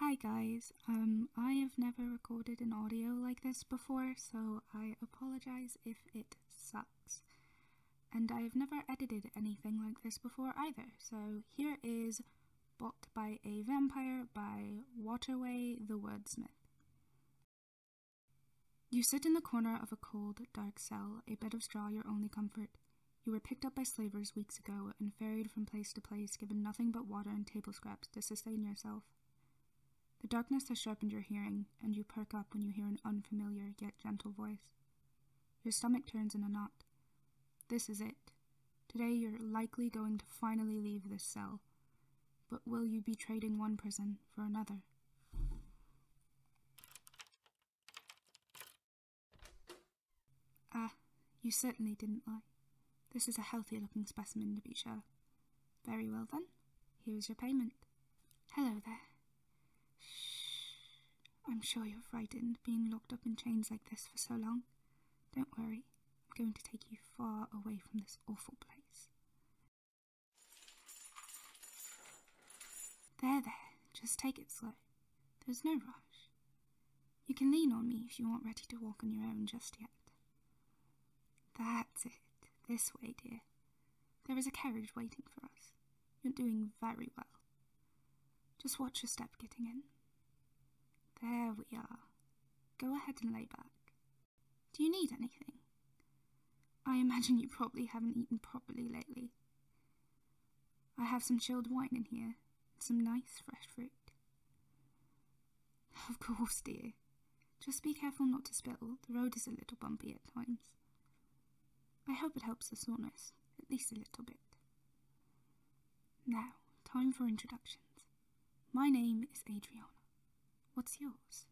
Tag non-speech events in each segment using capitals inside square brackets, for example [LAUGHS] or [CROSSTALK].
Hi guys, um, I have never recorded an audio like this before, so I apologize if it sucks. And I have never edited anything like this before either, so here is Bought by a Vampire by Waterway the Wordsmith. You sit in the corner of a cold, dark cell, a bed of straw your only comfort. You were picked up by slavers weeks ago and ferried from place to place, given nothing but water and table scraps to sustain yourself. The darkness has sharpened your hearing, and you perk up when you hear an unfamiliar yet gentle voice. Your stomach turns in a knot. This is it. Today you're likely going to finally leave this cell. But will you be trading one prison for another? Ah, you certainly didn't lie. This is a healthy looking specimen, to be sure. Very well, then. Here is your payment. Hello there. Shh. I'm sure you're frightened being locked up in chains like this for so long. Don't worry, I'm going to take you far away from this awful place. There, there, just take it slow. There's no rush. You can lean on me if you aren't ready to walk on your own just yet. That's it. This way, dear. There is a carriage waiting for us. You're doing very well. Just watch your step getting in. There we are. Go ahead and lay back. Do you need anything? I imagine you probably haven't eaten properly lately. I have some chilled wine in here, and some nice fresh fruit. [LAUGHS] Of course, dear. Just be careful not to spill. The road is a little bumpy at times. I hope it helps the soreness, at least a little bit. Now, time for introductions. My name is Adriana. What's yours?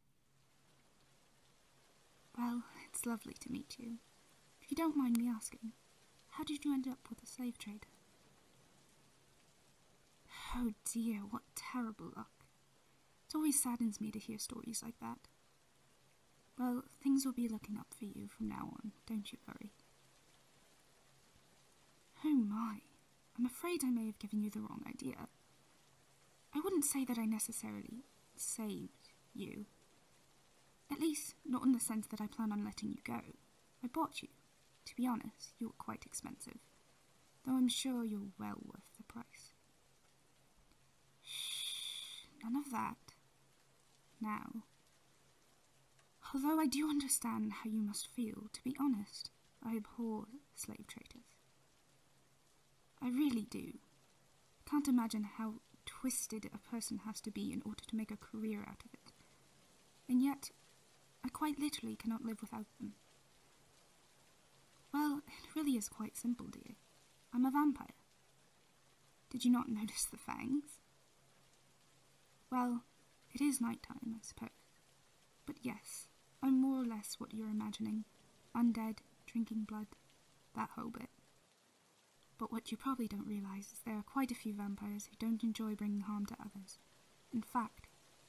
Well, it's lovely to meet you. If you don't mind me asking, how did you end up with the slave trade? Oh dear, what terrible luck. It always saddens me to hear stories like that. Well, things will be looking up for you from now on, don't you worry. Oh my, I'm afraid I may have given you the wrong idea. I wouldn't say that I necessarily saved you. At least, not in the sense that I plan on letting you go. I bought you. To be honest, you are quite expensive, though I'm sure you're well worth the price. Shh, none of that. Now. Although I do understand how you must feel, to be honest, I abhor slave traders. I really do. Can't imagine how twisted a person has to be in order to make a career out of it. And yet, I quite literally cannot live without them. Well, it really is quite simple, dear. I'm a vampire. Did you not [LAUGHS] notice the fangs? Well, it is night time, I suppose. But yes, I'm more or less what you're imagining undead, drinking blood, that whole bit. But what you probably don't realize is there are quite a few vampires who don't enjoy bringing harm to others. In fact,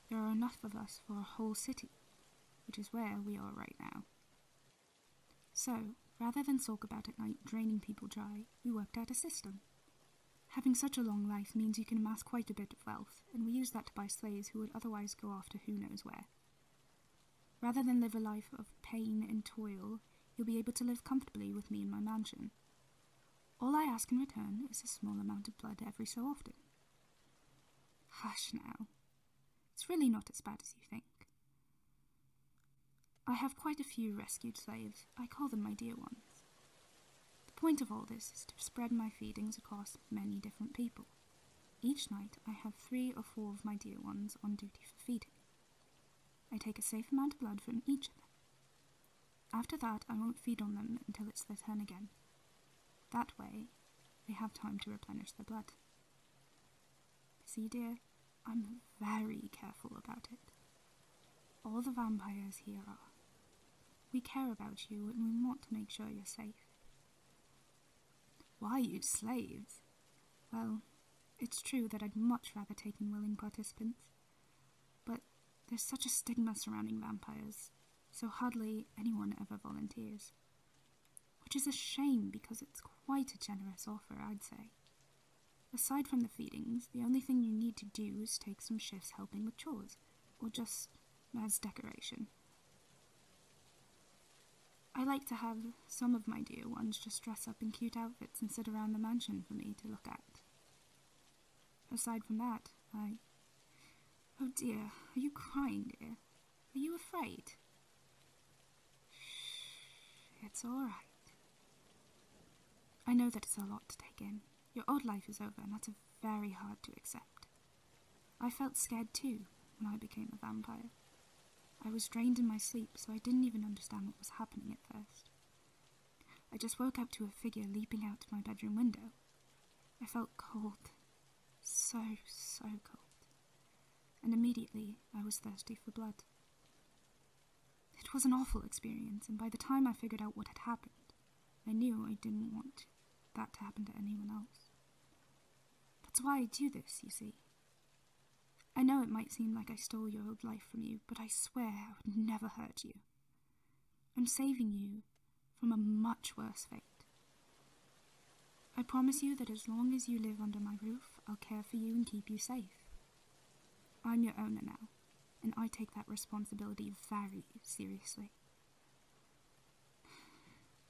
there are enough of us for a whole city, which is where we are right now. So, rather than sulk about at night draining people dry, we worked out a system. Having such a long life means you can amass quite a bit of wealth, and we use that to buy slaves who would otherwise go off to who knows where. Rather than live a life of pain and toil, you'll be able to live comfortably with me in my mansion. All I ask in return is a small amount of blood every so often. Hush now. It's really not as bad as you think. I have quite a few rescued slaves. I call them my dear ones. The point of all this is to spread my feedings across many different people. Each night I have three or four of my dear ones on duty for feeding. I take a safe amount of blood from each of them. After that, I won't feed on them until it's their turn again. That way, they have time to replenish their blood. See, dear, I'm very careful about it. All the vampires here are. We care about you and we want to make sure you're safe. Why, you slaves? Well, it's true that I'd much rather take in willing participants. But there's such a stigma surrounding vampires, so hardly anyone ever volunteers. Which is a shame because it's quite a generous offer, I'd say. Aside from the feedings, the only thing you need to do is take some shifts helping with chores, or just as decoration. I like to have some of my dear ones just dress up in cute outfits and sit around the mansion for me to look at. Aside from that, I. Oh dear, are you crying, dear? Are you afraid? it's all right. I know that it's a lot to take in. Your old life is over, and that's very hard to accept. I felt scared too when I became a vampire. I was drained in my sleep, so I didn't even understand what was happening at first. I just woke up to a figure leaping out of my bedroom window. I felt cold. So, so cold. And immediately I was thirsty for blood. It was an awful experience, and by the time I figured out what had happened, I knew I didn't want that to happen to anyone else. That's why I do this, you see. I know it might seem like I stole your old life from you, but I swear I would never hurt you. I'm saving you from a much worse fate. I promise you that as long as you live under my roof, I'll care for you and keep you safe. I'm your owner now, and I take that responsibility very seriously.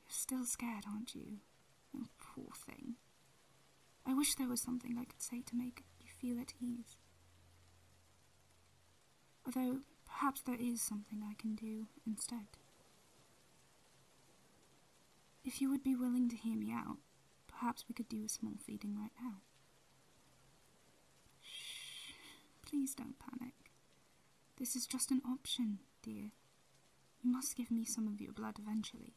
You're still scared, aren't you? Oh, poor thing. I wish there was something I could say to make you feel at ease. Although, perhaps there is something I can do instead. If you would be willing to hear me out, perhaps we could do a small feeding right now. Shh, please don't panic. This is just an option, dear. You must give me some of your blood eventually.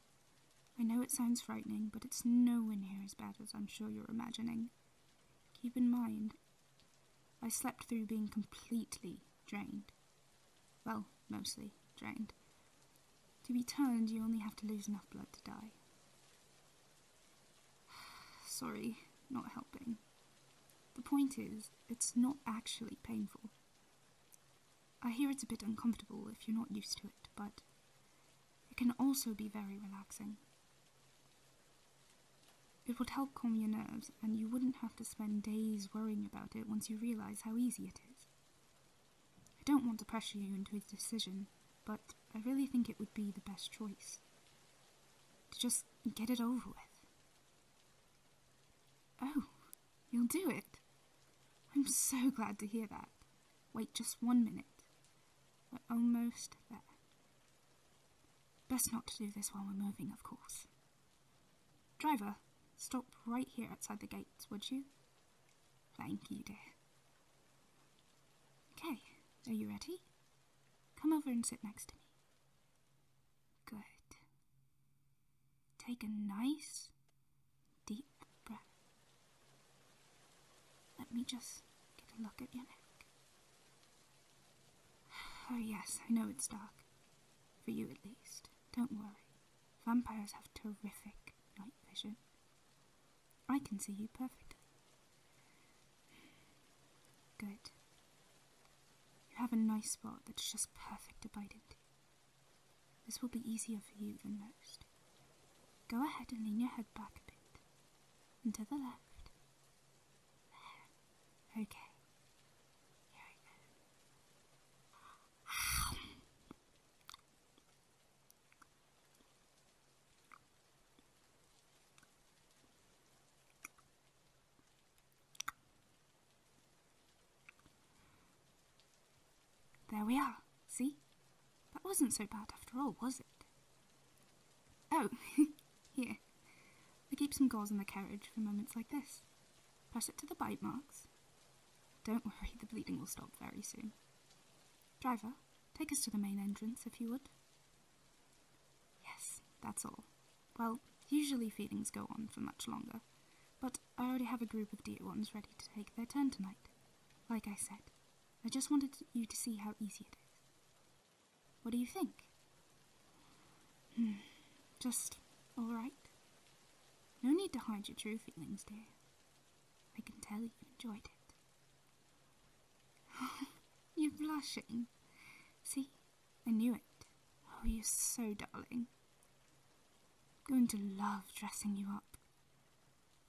I know it sounds frightening, but it's nowhere near as bad as I'm sure you're imagining. Keep in mind, I slept through being completely drained. Well, mostly drained. To be turned, you only have to lose enough blood to die. [SIGHS] Sorry, not helping. The point is, it's not actually painful. I hear it's a bit uncomfortable if you're not used to it, but it can also be very relaxing. It would help calm your nerves, and you wouldn't have to spend days worrying about it once you realize how easy it is. I don't want to pressure you into a decision, but I really think it would be the best choice. just and get it over with. Oh, you'll do it? I'm so glad to hear that. Wait just one minute. We're almost there. Best not to do this while we're moving, of course. Driver, stop right here outside the gates, would you? Thank you, dear. Okay, are you ready? Come over and sit next to me. Good. Take a nice deep breath. Let me just get a look at your neck. Oh, yes, I know it's dark. For you at least. Don't worry. Vampires have terrific night vision. I can see you perfectly. Good. You have a nice spot that's just perfect to bite into. This will be easier for you than most. Go ahead and lean your head back a bit. And to the left. There. Okay. Here I go. There we are. See? That wasn't so bad after all, was it? Oh, [LAUGHS] here. I keep some gauze in the carriage for moments like this. Press it to the bite marks. Don't worry, the bleeding will stop very soon. Driver, take us to the main entrance, if you would. Yes, that's all. Well, usually feelings go on for much longer, but I already have a group of dear ones ready to take their turn tonight. Like I said, I just wanted you to see how easy it is. What do you think? Hmm, just all right. No need to hide your true feelings, dear. I can tell you enjoyed it. [SIGHS] You're blushing. See, I knew it. Oh, you're so darling. I'm Going to love dressing you up.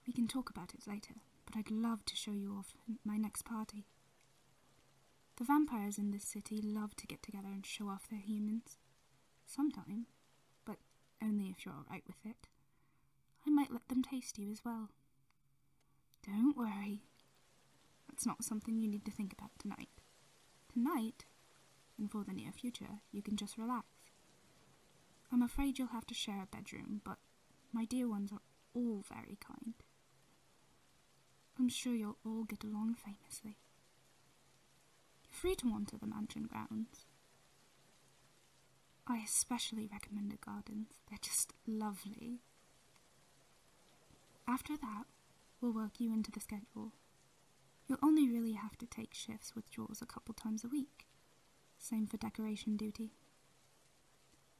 We can talk about it later, but I'd love to show you off at my next party. The vampires in this city love to get together and show off their humans. Sometime, but only if you're alright with it. I might let them taste you as well, don't worry. That's not something you need to think about tonight. Tonight, and for the near future, you can just relax. I'm afraid you'll have to share a bedroom, but my dear ones are all very kind. I'm sure you'll all get along famously. You're free to wander the mansion grounds. I especially recommend the gardens, they're just lovely. After that, we'll work you into the schedule. You'll only really have to take shifts with Jaws a couple times a week. Same for decoration duty.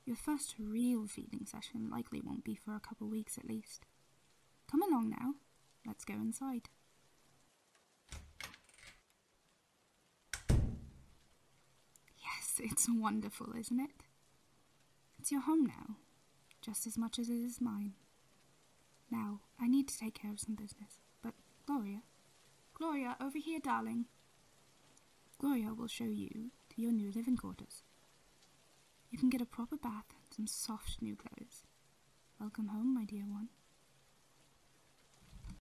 Your first real feeding session likely won't be for a couple weeks at least. Come along now, let's go inside. Yes, it's wonderful, isn't it? It's your home now, just as much as it is mine. Now, I need to take care of some business, but Gloria, Gloria, over here, darling. Gloria will show you to your new living quarters. You can get a proper bath and some soft new clothes. Welcome home, my dear one.